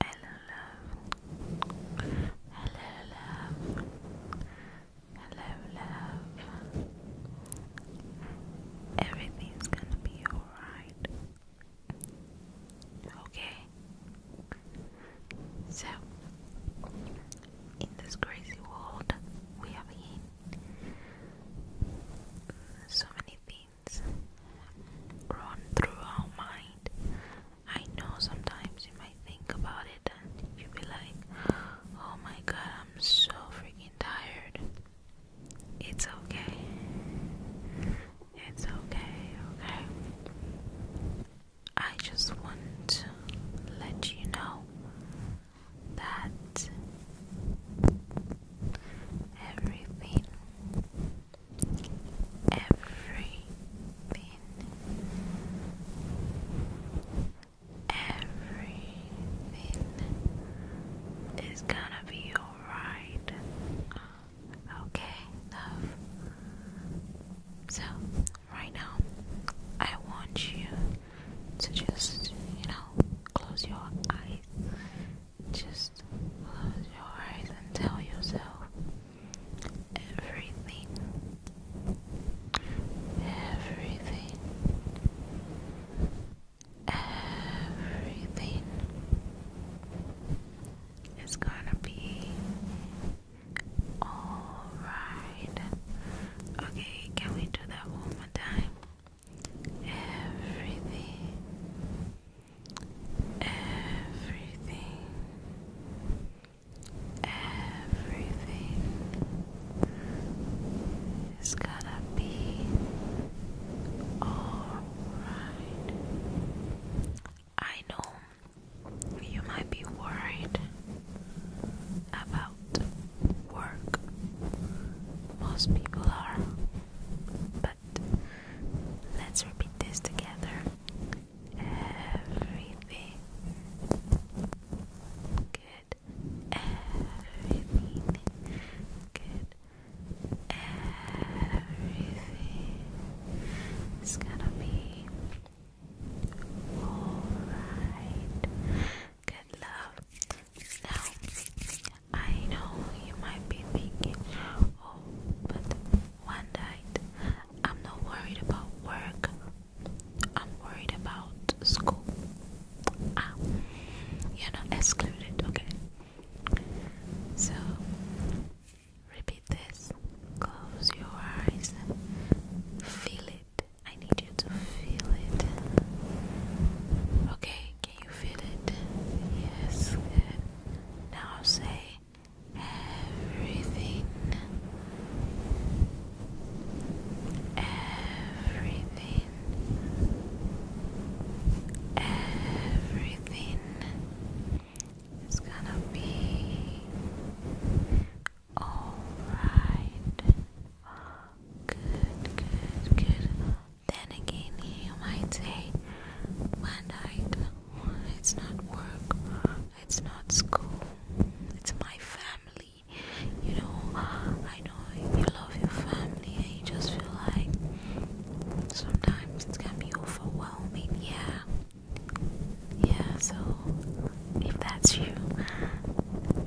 Hello love. Hello love. Hello love. Everything's gonna be alright. Okay. So in this crazy world we have in so many things run through our mind. I know sometimes you might think about it and you be like, oh my god, I'm so freaking tired. It's okay. It's okay, okay? I just want to let you know that everything everything, everything is gonna be alright. Okay, love. So, right now, I want you to just, you know, close your eyes just close your eyes and tell yourself everything. Everything. Everything is gonna be alright. Okay, can we do that one more time? everything, everything, everything is gonna be alright. I know you might be worried about work. Most people are, but let's repeat this together. Everything. Good. Everything. Good. Everything is gonna be alright. Good love. Now, I know you might be thinking, oh, but one night, I'm not worried about work, I'm worried about school. Ah, you're not excluded, okay? So, repeat this. Close your eyes. Feel it. I need you to feel it. Okay, you feel it? Yes, Now say everything. Everything. Everything is gonna be alright. Good, good, good. Then again, you might say, Bandite, it's not work, it's not school, it's my family. You know, I know you love your family and you just feel like sometimes it can be overwhelming. Yeah, yeah, so if that's you,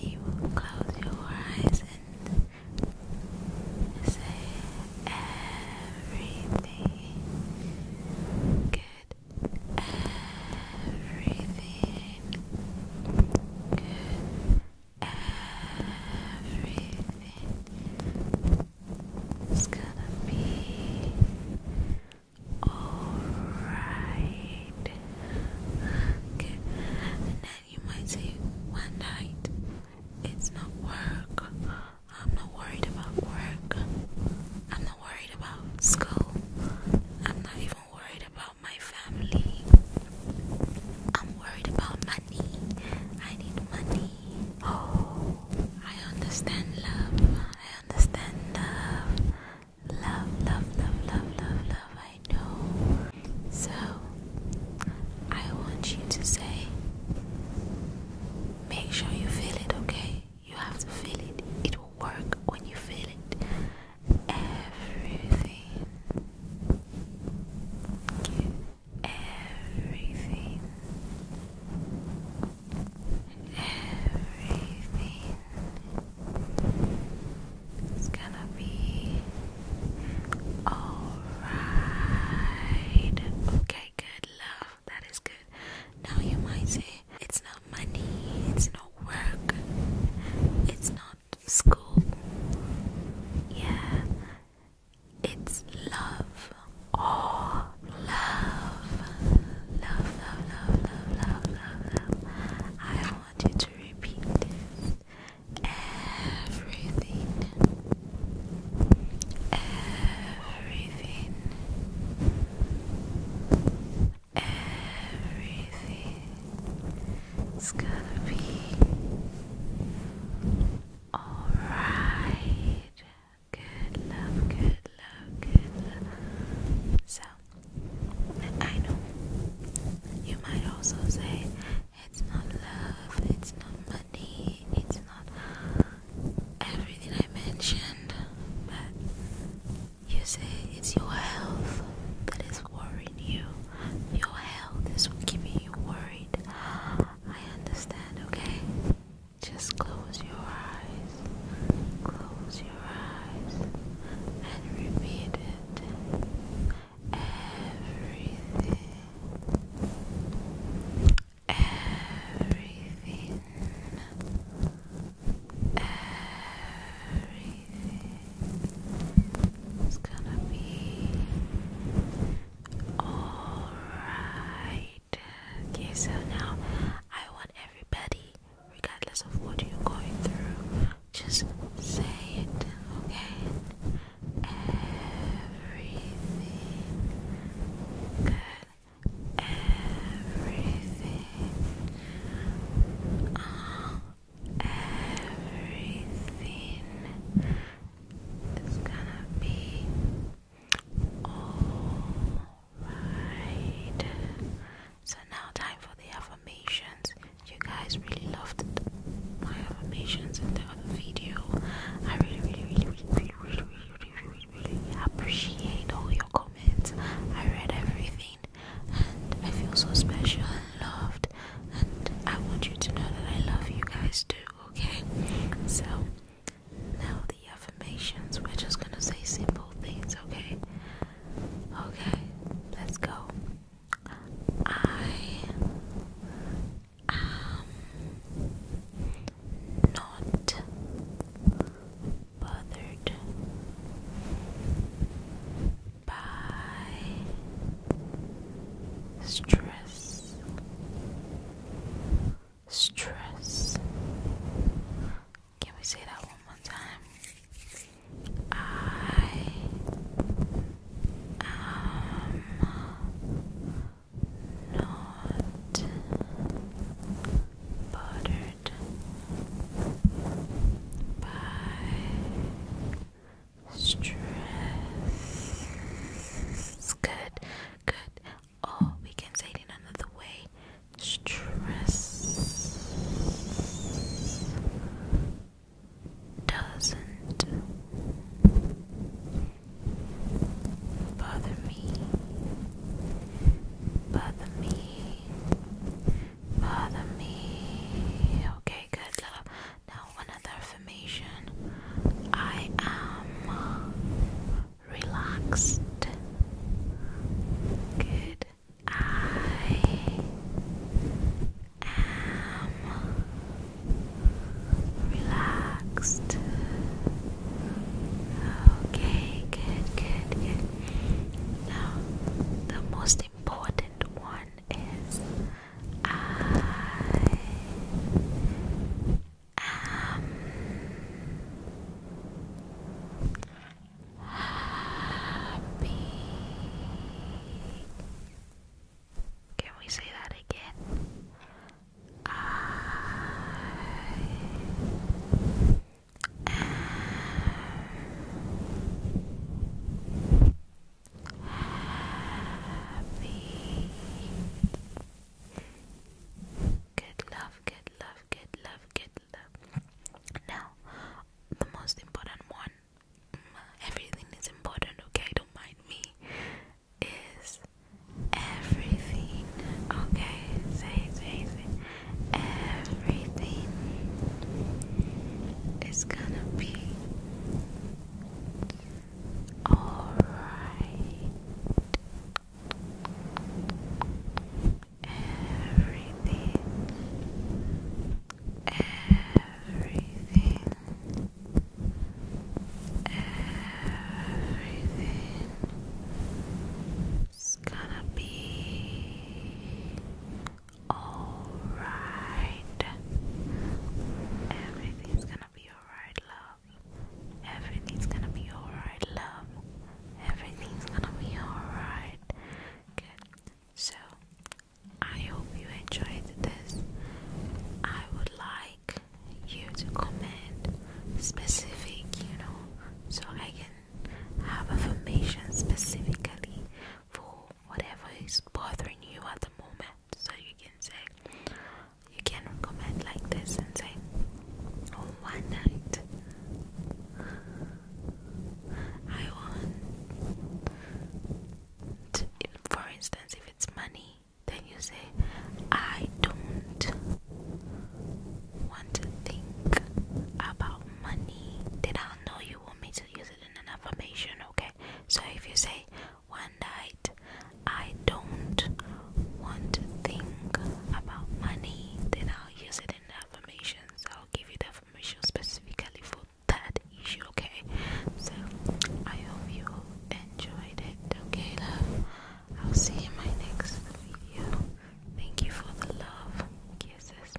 you close your eyes and Say everything good. Everything good. Everything is gonna be alright. Okay you might say one night it's not work. I'm not worried about work. I'm not worried about school. I'm not even worried about my family. I'm worried about money. I need money. Oh, I understand love. I understand love. Love, love, love, love, love, love, I know. So, I want you to say, make sure you feel it, okay? You have to feel it. It will work when you feel it. Everything. Okay. Everything. Everything. It's gonna be alright. Okay, good love. That is good. Now you might say it's not money, it's not work, it's not school. Yeah, it's love. Oh, love. Love, love, love, love, love, love, I want you to repeat this. Everything. Everything. Everything. It's gonna be alright. Good love, good so, I know you might also say it's not love, it's not money, it's not everything I mentioned, but you say it's your health that is worrying you. Your health is keeping you worried. I understand, okay? Just close your eyes. Close your and repeat it. Everything. Everything. Everything is gonna be alright. Okay, so now I want everybody regardless of what you're going through. Just say it, okay? Everything good. Everything. Oh, everything is gonna be all Right. So now time for the affirmations. You guys really loved my affirmations in the other video. I really really really really really really really really, really appreciate all your comments. I read everything and I feel so special and loved and I want you to know that I love you guys too, okay? So now the affirmations, we're just gonna say simple things, okay? Okay, let's go. I am not bothered by stress stress. Can we say that one more time? I am not bothered by stress. Good, good or oh, we can say it in another way stress doesn't bother me, bother me, bother me. Okay, good love. Now, another affirmation I am relaxed. Good. I am relaxed. Okay, good, good, good. Now, the most important one is I am happy. Can we say that again? I am happy. Good love, good love, good love, good love. Now, the most important one, mm, everything is important, okay? Don't mind me. Is everything, okay? Say, say, say. Everything is gonna be all right. Everything, everything, everything is gonna be all right. Everything's gonna be all right, love. Everything's gonna be alright, love. Everything's gonna be alright. Good. So, I hope you enjoyed this. I would like you to comment specific, you know, so I can have affirmation specifically for whatever is bothering you at the moment so you can say you can recommend like this and say oh, one night I want for instance if it's money then you say I don't want to think about money then i know you want me to use it in an affirmation okay so if you say one night. I don't want to think about money, then I'll use it in the affirmations. I'll give you the affirmation specifically for that issue, okay? So I hope you all enjoyed it, okay, love? I'll see you in my next video. Thank you for the love, kisses.